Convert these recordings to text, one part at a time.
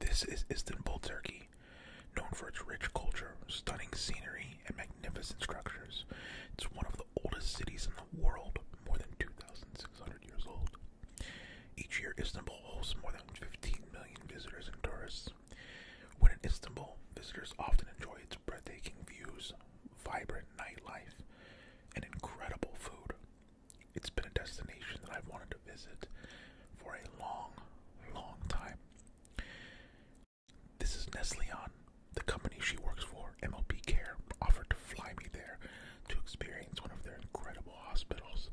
This is Istanbul, Turkey, known for its rich culture, stunning scenery, and magnificent structures. It's one of the oldest cities in the world, more than 2,600 years old. Each year, Istanbul hosts more than 15 million visitors and tourists, when in Istanbul, visitors often enjoy its breathtaking views, vibrant nightlife, and incredible food. It's been a destination that I've wanted to visit for a long, long time. This is Neslian, the company she works for, MLP Care, offered to fly me there to experience one of their incredible hospitals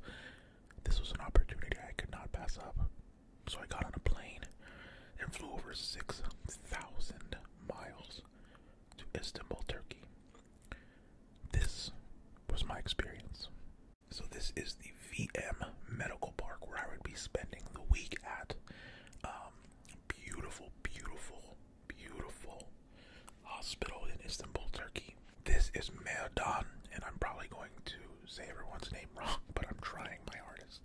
this was an opportunity I could not pass up. So I got on a plane and flew over 6,000 miles to Istanbul, Turkey. This was my experience. So, this is the VM Medical Park where I would be spending the week at. Um, beautiful, beautiful, beautiful hospital in Istanbul, Turkey. This is Meodon, and I'm probably going to say everyone's name wrong, but I'm trying my hardest.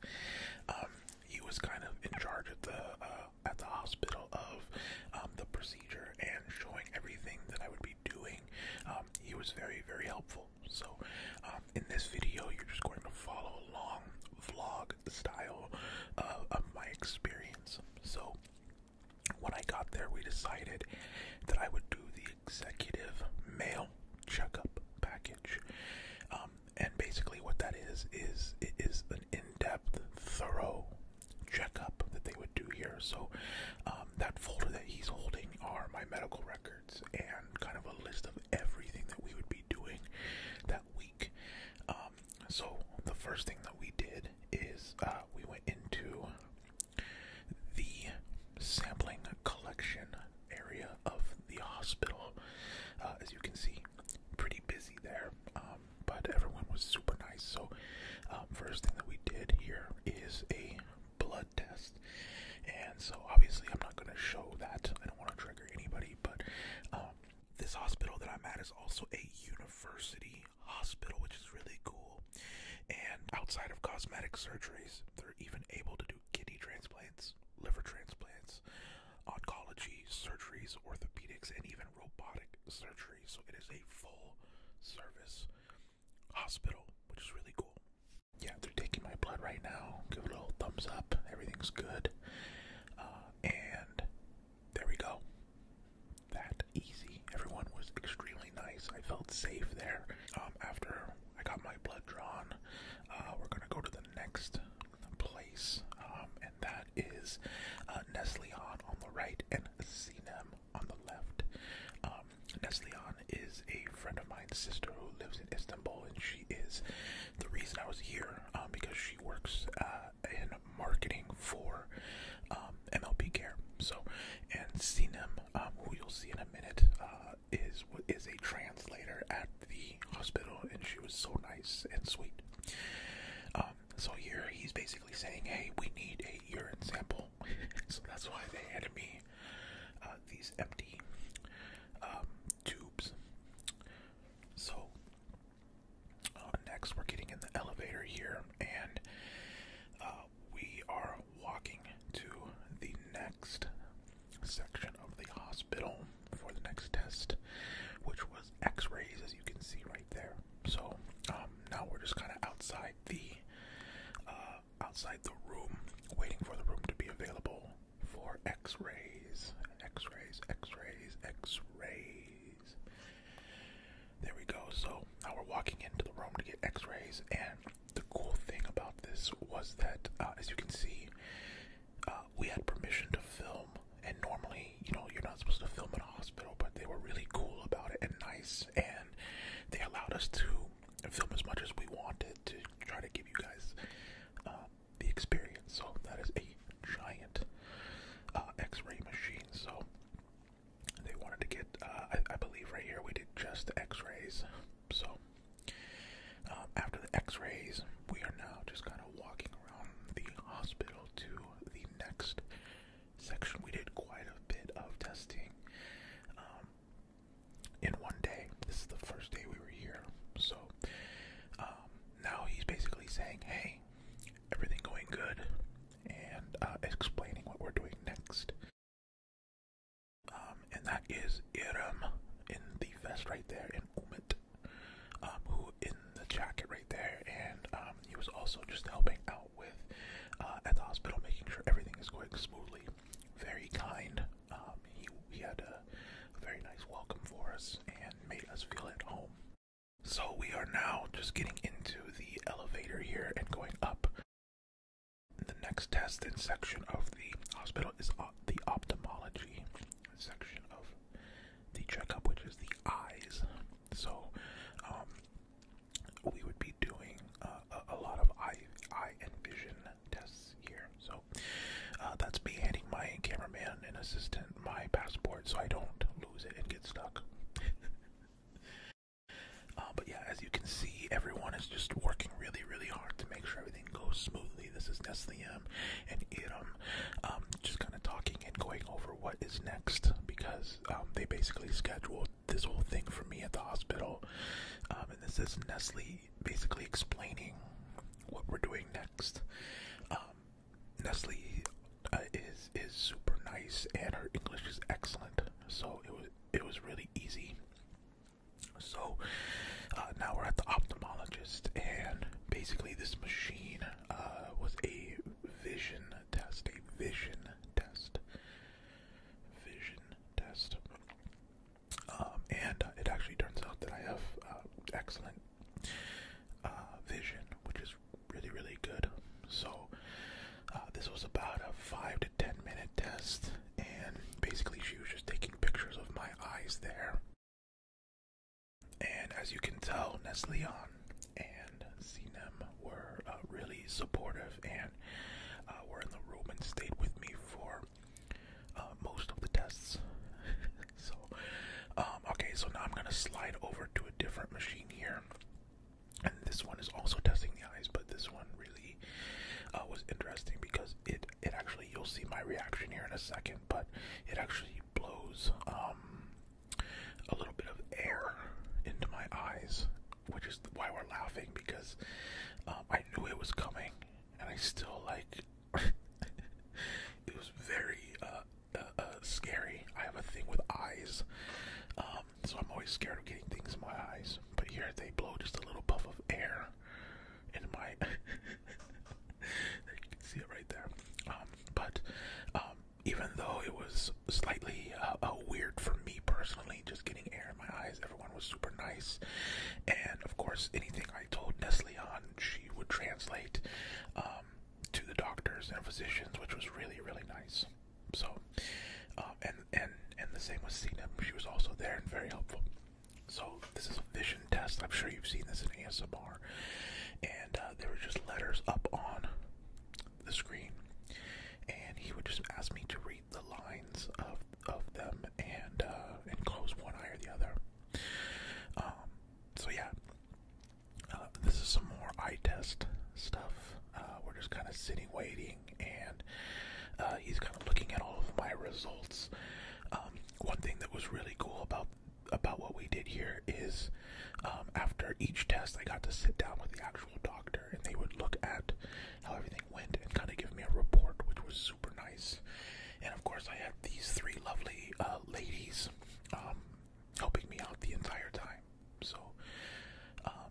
Um, he was kind of in charge at the uh, at the hospital of um, the procedure and showing everything that I would be doing. Um, he was very very helpful. So in this video, you're just going to follow along vlog style uh, of my experience. So when I got there, we decided that I would do the executive male checkup package. Um, and basically, what that is is it is an in-depth, thorough checkup that they would do here. So um, that folder that he's holding are my medical records and kind of a list of everything that we would be doing that week. Um, so the first thing that we did is uh, we went into the sampling collection area of the hospital. Uh, as you can see, pretty busy there, um, but everyone was super nice. So, um, first thing that we did here is a blood test, and so obviously I'm not going to show that. I don't want to trigger anybody, but um, this hospital that I'm at is also a university hospital, which is really cool. And outside of cosmetic surgeries, they're even able to do kidney transplants, liver transplants, oncology surgeries, orthopedics, and even robotic surgery. So it is a full service hospital, which is really cool. Yeah, they're taking my blood right now. Give a little thumbs up. Everything's good. Uh, and there we go. That easy. Everyone was extremely nice. I felt safe there. Um, after I got my blood drawn, uh, we're gonna go to the next place, um, and that is uh, on the right and Sinem on the left. Um, Neslihan is a friend of mine, sister who lives in Istanbul, and she is the reason I was here um, because she works uh, in marketing for um, Care. So, and Sinem, um, who you'll see in a minute, uh, is what is a translator at the hospital, and she was so nice and sweet. Um, so here he's basically saying, "Hey, we need a urine sample," so that's why they handed me uh, these empty um, tubes. So uh, next, we're getting in the elevator here, and uh, we are walking to the next section of the hospital for the next test, which was x rays, as you can see right there. So um, now we're just kind of outside the uh, outside the room, waiting for the room to be available for x rays, x rays, x rays, x rays. There we go. So now we're walking into the room to get X-rays, and the cool thing about this was that, uh, as you can see, uh, we had permission to film. And normally, you know, you're not supposed to film in a hospital, but they were really cool about it and nice, and they allowed us to film as much as we wanted to try to give you guys uh, the experience. So that is a giant X-ray machine. So they wanted to get, uh, I, I believe, right here we did just X-rays. So um, after the X-rays, we are now just kind of walking around the hospital to the next section. We did quite a bit of testing um, in one day. This is the first day we were here, so um, now he's basically saying, "Hey, everything going good," and uh, explaining what we're doing next. Um, and that is Iram in the vest right there, and Umit, um, who in the jacket right there, and um, he was also just helping out with uh, at the hospital, making sure everything is going smoothly. Very kind. he had a very nice welcome for us and made us feel at home. So we are now just getting into the elevator here and going up. The next test and section of the hospital is the ophthalmology section of the checkup, which is the eyes. So, um, we would be doing uh, a, lot of eye, eye and vision tests here. So, uh, that's me handing my cameraman and assistant my passport so I don't lose it and get stuck. Uh, but yeah, as you can see, everyone is just working really, really hard to make sure everything goes smoothly. This is Nesliam and Iram, um, just kind of talking and going over what is next because um, they basically scheduled this whole thing for me at the hospital. Um, and this is Nestle basically explaining what we're doing next. Um, Nestle uh, is is super nice, and her English is excellent. So it was it was really easy. So uh, now we're at the optometrist, and basically this machine uh, was a vision test, a vision test, vision test. Um, and uh, it actually turns out that I have uh, excellent uh, vision, which is really, really good. So uh, this was about a five to ten minute test, and basically she was just taking pictures of my eyes there. And as you can tell, Nesleon and Sinem were uh, really supportive and uh, were in the room and stayed with me for most of the tests. so, um, okay, so now I'm gonna slide over to a different machine here and this one is also testing the eyes but this one really uh, was interesting because it it actually you'll see my reaction here in a second but it actually blows um, a little bit of air into my eyes which is why we're laughing because um, I knew it was coming and I still like it was very uh, uh, scary. I have a thing with eyes. Um, so I'm always scared of getting things in my eyes. But here they blow just a little puff of air in my. you can see it right there. Um, but um, even though it was slightly uh, uh, weird for me personally, just getting air in my eyes, everyone was super nice. And of course, anything I told Nestle on, she would translate um, to the doctors and physicians, which was really, really nice. So, uh, and and and the same with Cena. She was also there and very helpful. So this is a vision test. I'm sure you've seen this in ASMR. And uh, there were just letters up on the screen, and he would just ask me to read the lines of of them and uh, and close one eye or the other. Um, so yeah, uh, this is some more eye test stuff. Uh, we're just kind of sitting, waiting, and uh, he's kind of looking at all of my results. Um, one thing that was really cool about about what we did here is um, after each test, I got to sit down with the actual doctor, and they would look at how everything went and kind of give me a report, which was super nice. And of course, I had these three lovely ladies um, helping me out the entire time. So, um,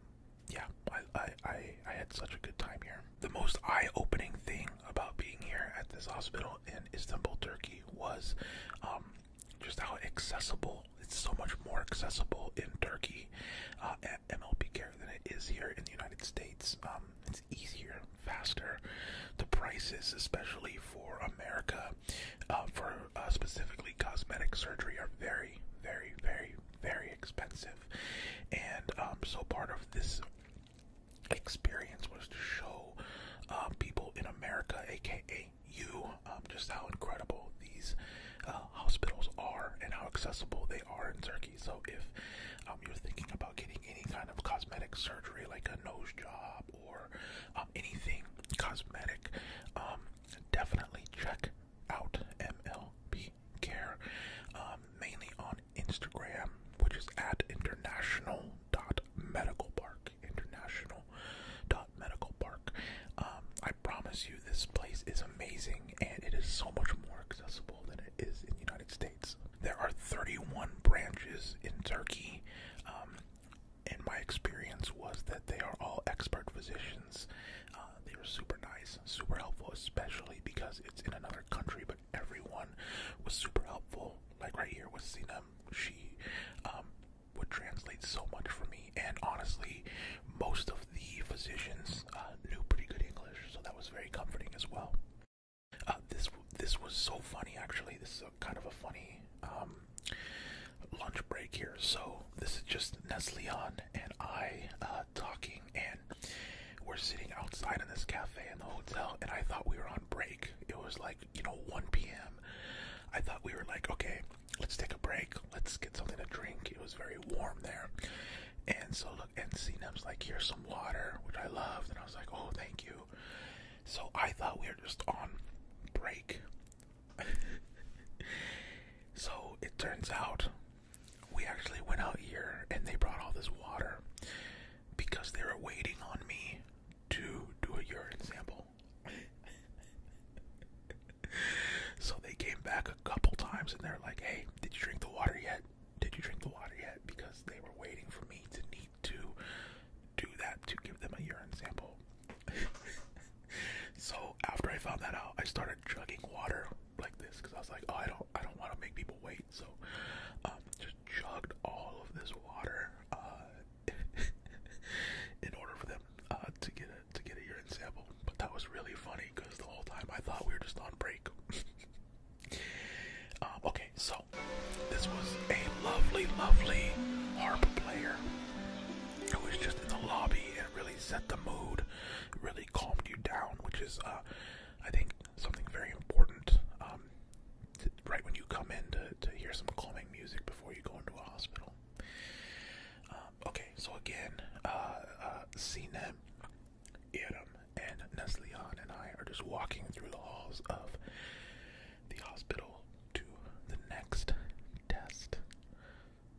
yeah, I, I, I, had such a good time here. The most eye-opening thing about being here at this hospital in Istanbul, Turkey, was um, just how accessible. It's so much more accessible in Turkey uh, at MLP Care than it is here in the United States. Um, it's easier, faster. The prices, especially for America, uh, for uh, specifically cosmetic surgery are very, very, very, very expensive. And um, so part of this experience was to show uh, people in America, aka you, um, just how incredible these uh, hospitals are and how accessible they are in Turkey. So if um, you're thinking about getting any kind of cosmetic surgery, like a nose job or um, anything cosmetic, um, definitely check out MLB Care, um, mainly on Instagram, which is at international international dot medical park dot medical park. I promise you, this place is amazing and it is so much more accessible than it is in the United States. There are 31 branches in Turkey. Um, in my experience was that they are all expert physicians. Uh, they were super nice, super helpful, especially because it's in another country. But everyone was super helpful. Like right here with Sinem, she um, would translate so much for me. And honestly, most of the physicians uh, knew pretty good English, so that was very comforting as well. Uh, this this was so funny actually. This is kind of a funny um, lunch break here. So this is just Nesleon and I uh, talking, and we're sitting outside in this cafe in the hotel, and I thought we were on break. It was like you know 1 p.m. I thought we were like, okay, let's take a break. Let's get something to drink. It was very warm there. And so look, and Cnem's like, here's some water, which I loved, and I was like, oh, thank you. So I thought we were just on break. so it turns out we actually went out here and they brought all this water because they were waiting on me to do a urine sample. so they came back a couple times and they're like, hey, did you drink the water yet? Did you drink the water yet? Because they were waiting for me to need to do that to give them a urine sample. so after I found that out, I started chugging water like this because I was like, oh, I don't, I don't want to make people wait. So, um, just chugged all of this water uh, in order for them uh, to get a to get a urine sample. But that was really funny because the whole time I thought we were just on break. Um, okay, so this was a lovely, lovely harp player it was just in the lobby. It really set the mood, really calmed you down, which is, uh, I think, something very important. Um, right when you come in to, to hear some calming music before you go into a hospital. Um, okay, so again, uh, uh, and Neslihan and I are just walking through the halls of the hospital to the next test.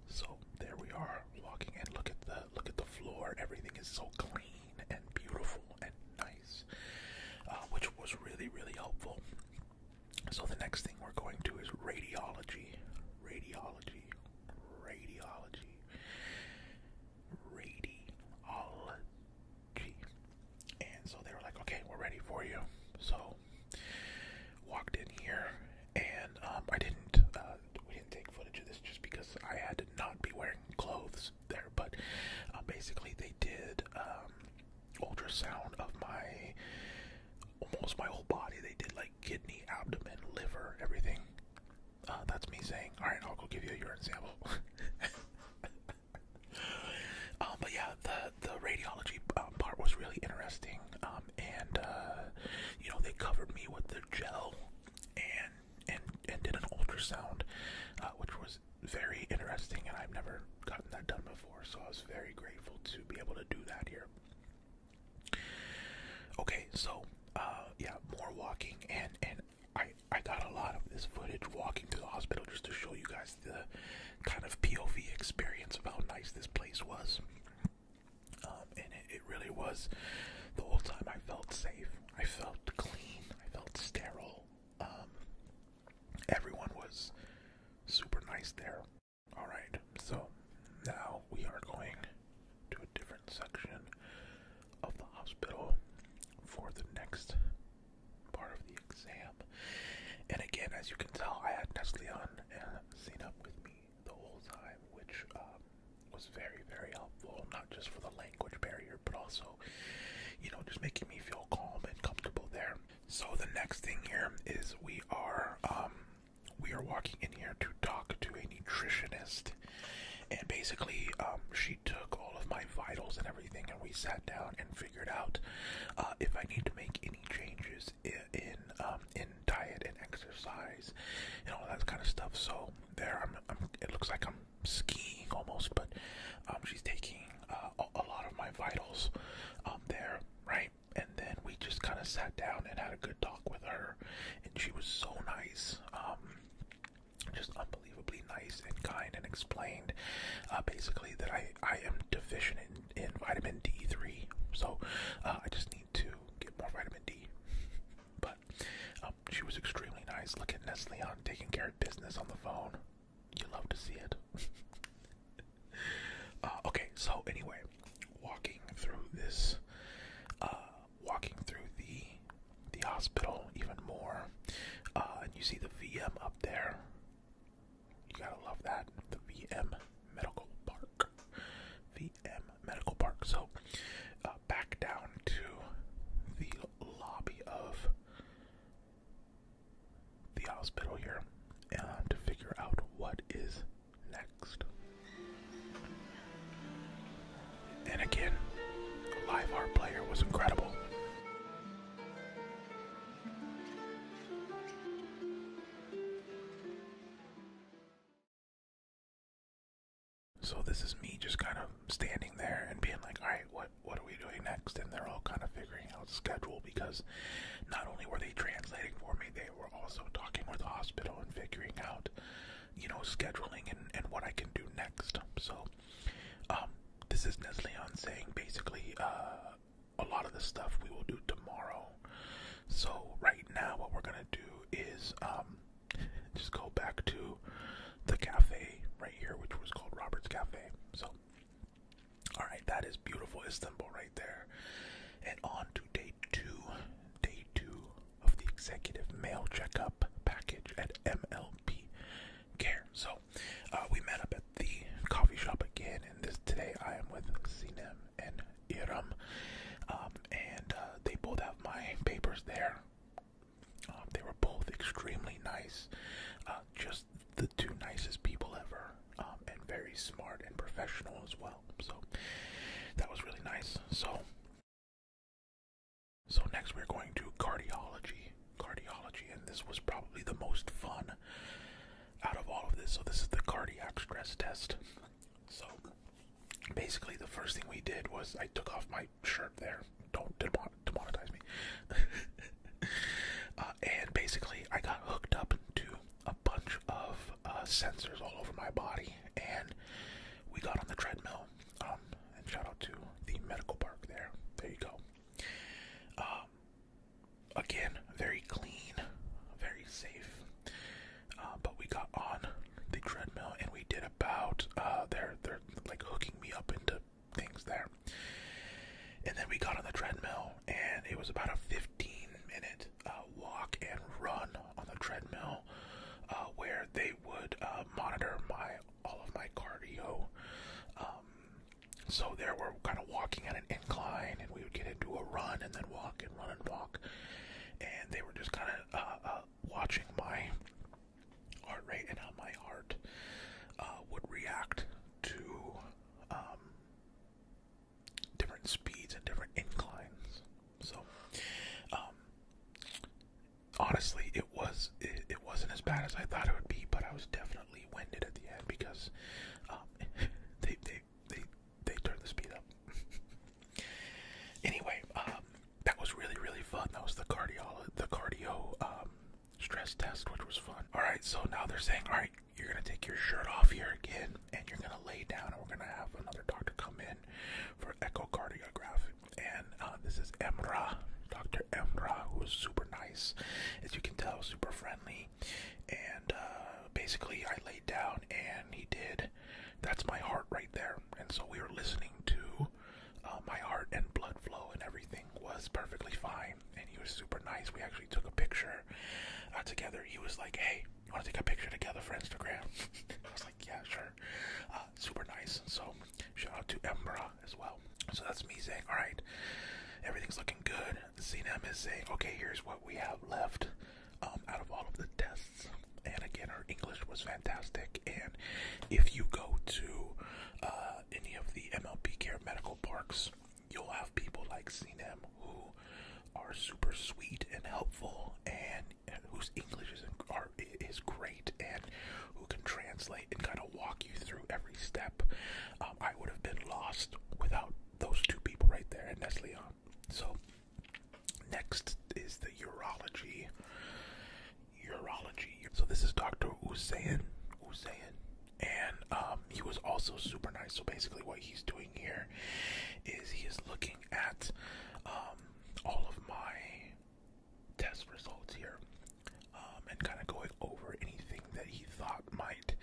So there we are walking in. Look at the look at the floor. Everything is so clean and beautiful and nice, uh, which was really really helpful. So the next thing we're going to is radiology, radiology, radiology, radiology. And so they were like, okay, we're ready for you. So walked in here, and um, I didn't. Uh, we didn't take footage of this just because I had to not be wearing clothes there. But uh, basically, they did um, ultrasound of my almost my whole body. They did like kidney, abdomen, liver, everything. Uh, that's me saying, all right, I'll go give you a urine sample. Um, but yeah, the radiology um, part was really interesting, um, and uh, you know they covered me with the gel and and and did an ultrasound, uh, which was very interesting, and I've never gotten that done before, so I was very grateful to be able to do that here. Okay, so uh, yeah, more walking, and and I I got a lot of this footage walking to the hospital just to show you guys the kind of POV experience of how nice this place was. Um, and it, really was. The whole time I felt safe. I felt clean. I felt sterile. Um, everyone was super nice there. Alright, so now we are going to a different section of the hospital for the next part of the exam. And again, as you can tell, I had Nestleon and Xenup with me the whole time, which um, was very, very helpful, not just for the language barrier, but also, you know, just making me feel calm and comfortable there. So the next thing here is we are um, we are walking in here to talk to a nutritionist, and basically, um, she took all of my vitals and everything, and we sat down and figured out uh, if I need to make any changes in um, in diet and exercise and all that kind of stuff. So there, I'm, it looks like I'm skiing almost, but um, she's taking uh, a, lot of my vitals um, there, right? And then we just kind of sat down and had a good talk with her, and she was so nice. Um, just unbelievably nice and kind and explained uh, basically that I, I am deficient in vitamin D3. So uh, I just need to get more vitamin D. But um, she was extremely nice. Look at Nestle on taking care of business on the phone. You love to see it. Uh, okay, so anyway, walking through this, uh, walking through the the hospital even more, and you see the VM up there. You gotta love that. The VM Medical Park. VM Medical Park. So, uh, back down to the lobby of the hospital here and uh, to figure out what is next. And again, live art player was incredible. So this is me just kind of standing there and being like, all right, what what are we doing next? And they're all kind of figuring out the schedule because not only were they translating for me, they were also talking with the hospital and figuring out, you know, scheduling and, and what I can do next. So um, this is Nesleon saying basically, uh, a lot of the stuff we will do tomorrow. So right now, what we're gonna do is um, just go back to the cafe right here, which was called Robert's Cafe. So, all right, that is beautiful Istanbul right there. And on to day two, day two of the executive mail checkup package at MLP Care. So uh, we met up at the coffee shop again, and this today I am with Sinem and Iram, um, and uh, they both have my papers there. Um, they were both extremely nice, uh, just the two nicest people ever, um, and very smart and professional as well. So that was really nice. So. So next we're going to cardiology. Cardiology, and this was probably the most fun out of all of this. So this is the cardiac stress test. So basically, the first thing we did was I took off my shirt there. Don't demonetize me. Uh, and basically, I got hooked up to a bunch of uh, sensors all over my body, and we got on the treadmill. Um, and shout out to the medical park there. There you go. Um, Again, very clean, very safe. Uh, but we got on the treadmill and we did about uh, they're they're like hooking me up into things there. And then we got on the treadmill and it was about a 15 minute uh, walk and run on the treadmill where they would monitor my all of my cardio. Um, so there we're kind of walking at an incline, and we would get into a run and then walk and run and walk. And they were just kind of uh, uh, watching my heart rate and how my heart uh, would react to um, different speeds and different inclines. So, um, honestly, it was it, it wasn't as bad as I thought it would be, but I was definitely unfortunately winded at the end because um, they they they they turned the speed up. anyway, um, that was really really fun. That was the cardio the cardio um, stress test, which was fun. All right, so now they're saying, all right, you're gonna take your shirt off here again, and you're gonna lay down, and we're gonna have another doctor come in for echocardiography, And uh, this is Emra, Dr. Emra, who is super nice, as you can tell, super friendly and uh, basically I laid down and he did. That's my heart right there, and so we were listening to. Uh, my heart and blood flow and everything was perfectly fine, and he was super nice. We actually took a picture uh, together. He was like, "Hey, you want to take a picture together for Instagram?" I was like, "Yeah, sure." super nice. So shout out to Embra as well. So that's me saying, all right, everything's looking good. CNM is saying, okay, here's what we have left um, out of all of the tests. And again, her English was fantastic. And if you go to uh, any of the MLP Care Medical Parks, you'll have people like CNM who are super sweet and helpful, and, whose English is is great, and who can translate and kind of walk you through every step. Um, I would have been lost without those two people right there, and that's Leon. So next is the urology. Urology. So this is Dr. Usain. Usain. And um, he was also super nice. So basically, what he's doing here is he is looking at um, all of my test results here um, and kind of going over anything that he thought might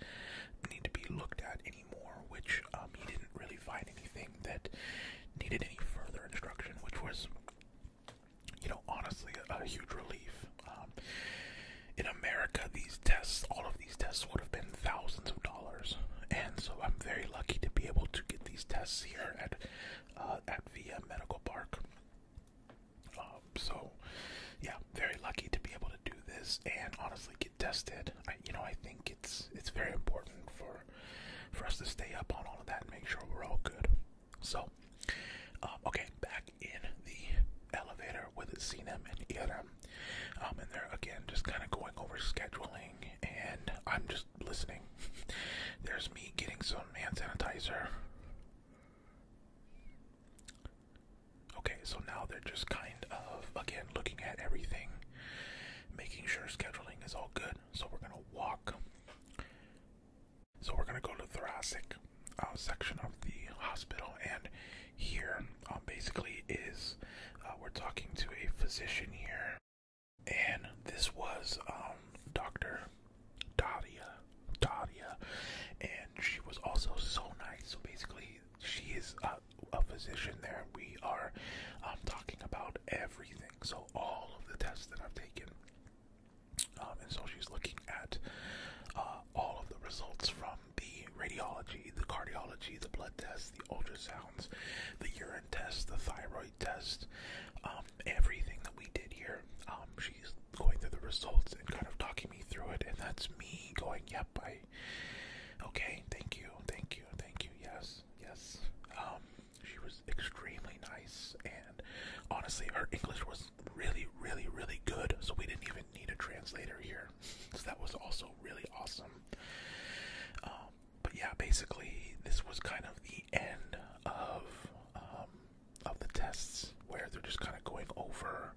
need to be looked at anymore, which um, he didn't really find anything that needed any further instruction, which was, you know, honestly a, a huge relief. Um, in America, these tests, all of these tests would have been thousands of dollars, and so I'm very lucky to be able to get these tests here at uh, at Via Medical Park. Um, so, yeah, very lucky to be able to do this and honestly get tested. I, you know, I think it's it's very important for for us to stay up on all of that and make sure we're all good. So, um, okay, back in the elevator with Sinem and Iram, um, and they're again just kind of going over scheduling, and I'm just listening. There's me getting some hand sanitizer. Okay, so now they're just kind of, again, looking at everything, making sure scheduling is all good. So we're going to walk. So we're going to go to thoracic uh, section of the hospital. And here, um, basically, is uh, we're talking to a physician here. And this was um, Dr. Daria, Daria, and she was also so nice. So basically, she is a, physician there. We are um, talking about everything. So all of the tests that I've taken, um, and so she's looking at uh, all of the results from the radiology, the cardiology, the blood tests, the ultrasounds, the urine test, the thyroid test, um, everything that we did here um, she's going through the results and kind of talking me through it, and that's me going, "Yep, I." Okay, thank you, thank you, thank you. Yes, yes. Um, she was extremely nice, and honestly, her English was really, really, really good. So we didn't even need a translator here. So that was also really awesome. Um, but yeah, basically, this was kind of the end of of the tests where they're just kind of going over,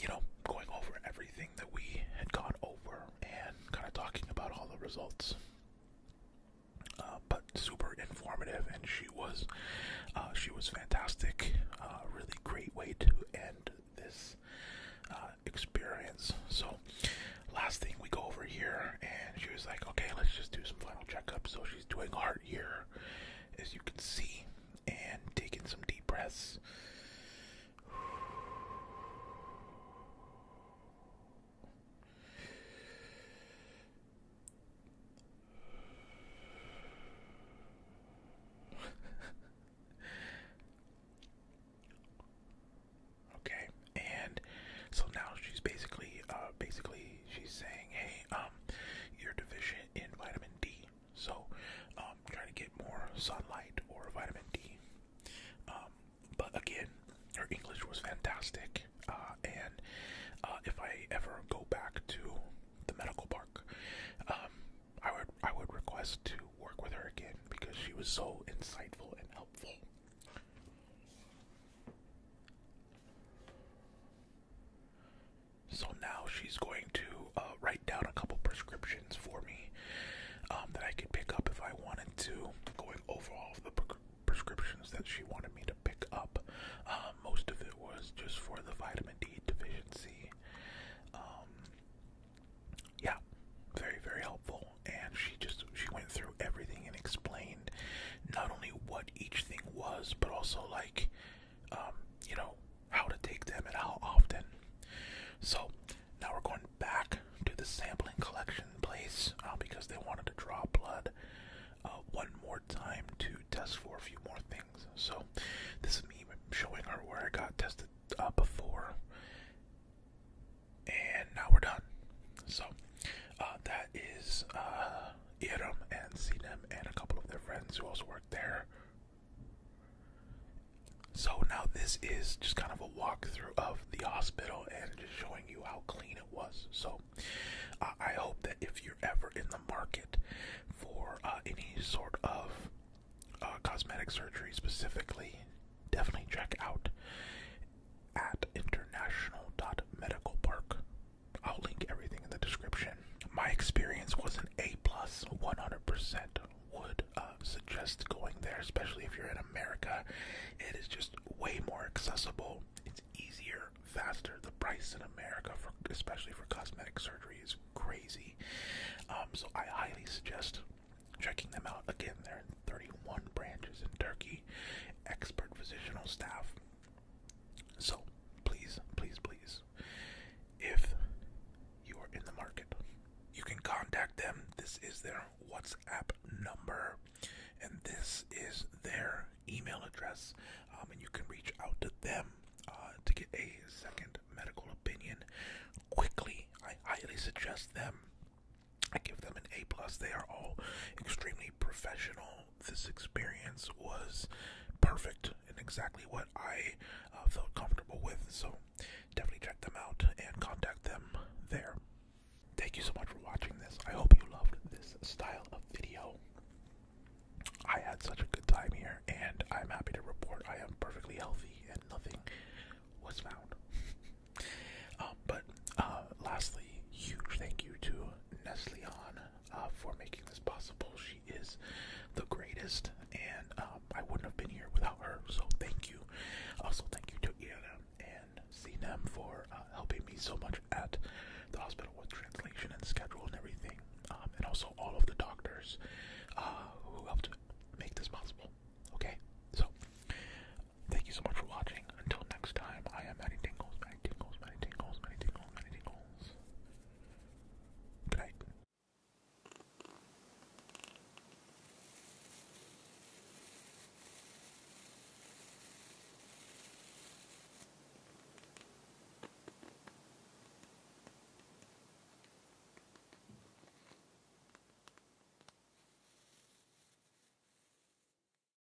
you know, going over everything that we had gone over and kind of talking about all the results. Uh, but super informative, and she was, uh, she was fantastic. Uh, really great way to end this experience. So, last thing we go over here, and she was like, "Okay, let's just do some final checkups." So she's doing heart here, as you can see, and taking some deep breaths. okay, and so now she's basically, uh, basically she's saying, hey, um, you're deficient in vitamin D, so um, trying to get more sunlight or vitamin D. Um, but again, her English was fantastic, uh, and uh, if I ever go back to the medical park, um, I would I would request to work with her again because she was so insightful and helpful. So now she's going to uh, write down a couple prescriptions for me um, that I could pick up if I wanted to. Going over all of the prescriptions that she wanted me to pick up. Um, most of it was just for the vitamin D deficiency. Um, yeah, very very helpful. And she just she went through everything and explained not only what what each thing was, but also like, um, you know, how to take them and how often. So now we're going back to the sampling collection place uh, because they wanted to draw blood uh, one more time to test for a few more things. So this is me showing her where I got tested uh, before, and now we're done. So uh, that is uh, Iram and Sinem and a couple of their friends who also work there. So now this is just kind of a walkthrough of the hospital and just showing you how clean it was. So uh, I hope that if you're ever in the market for uh, any sort of uh, cosmetic surgery specifically, definitely check out at international.medicalpark I'll link everything in the description. My experience was an A plus, 100% would uh, suggest going there, especially if you're in America. It is just way more accessible. It's easier, faster. The price in America, for, especially for cosmetic surgery, is crazy. Um, so I highly suggest checking them out. Again, they're 31 branches in Turkey. Expert professional staff. So, please, please, please, if you are in the market, you can contact them. This is their WhatsApp number, and this is their email address, um, and you can reach out to them uh, to get a second medical opinion quickly. I highly suggest them. I give them an A plus. They are all extremely professional this experience was perfect and exactly what I uh, felt comfortable with. So definitely check them out and contact them there. Thank you so much for watching this. I hope you loved this style of video. I had such a good time here, and I'm happy to report I am perfectly healthy and nothing was found. Um, but uh, lastly, huge thank you to Neslian uh, for making this possible. She is the greatest, and um, I wouldn't have been here without her. So thank you. Also, thank you to Iana and Sinem for uh, helping me so much at the hospital with translation and schedule and everything, um, and also all of the doctors uh, who helped make this possible. Okay, so thank you so much for watching. Until next time, I am Matty Tingles, Matty Tingles, Matty Tingles, Matty Tingles, Matty Tingles. Good night.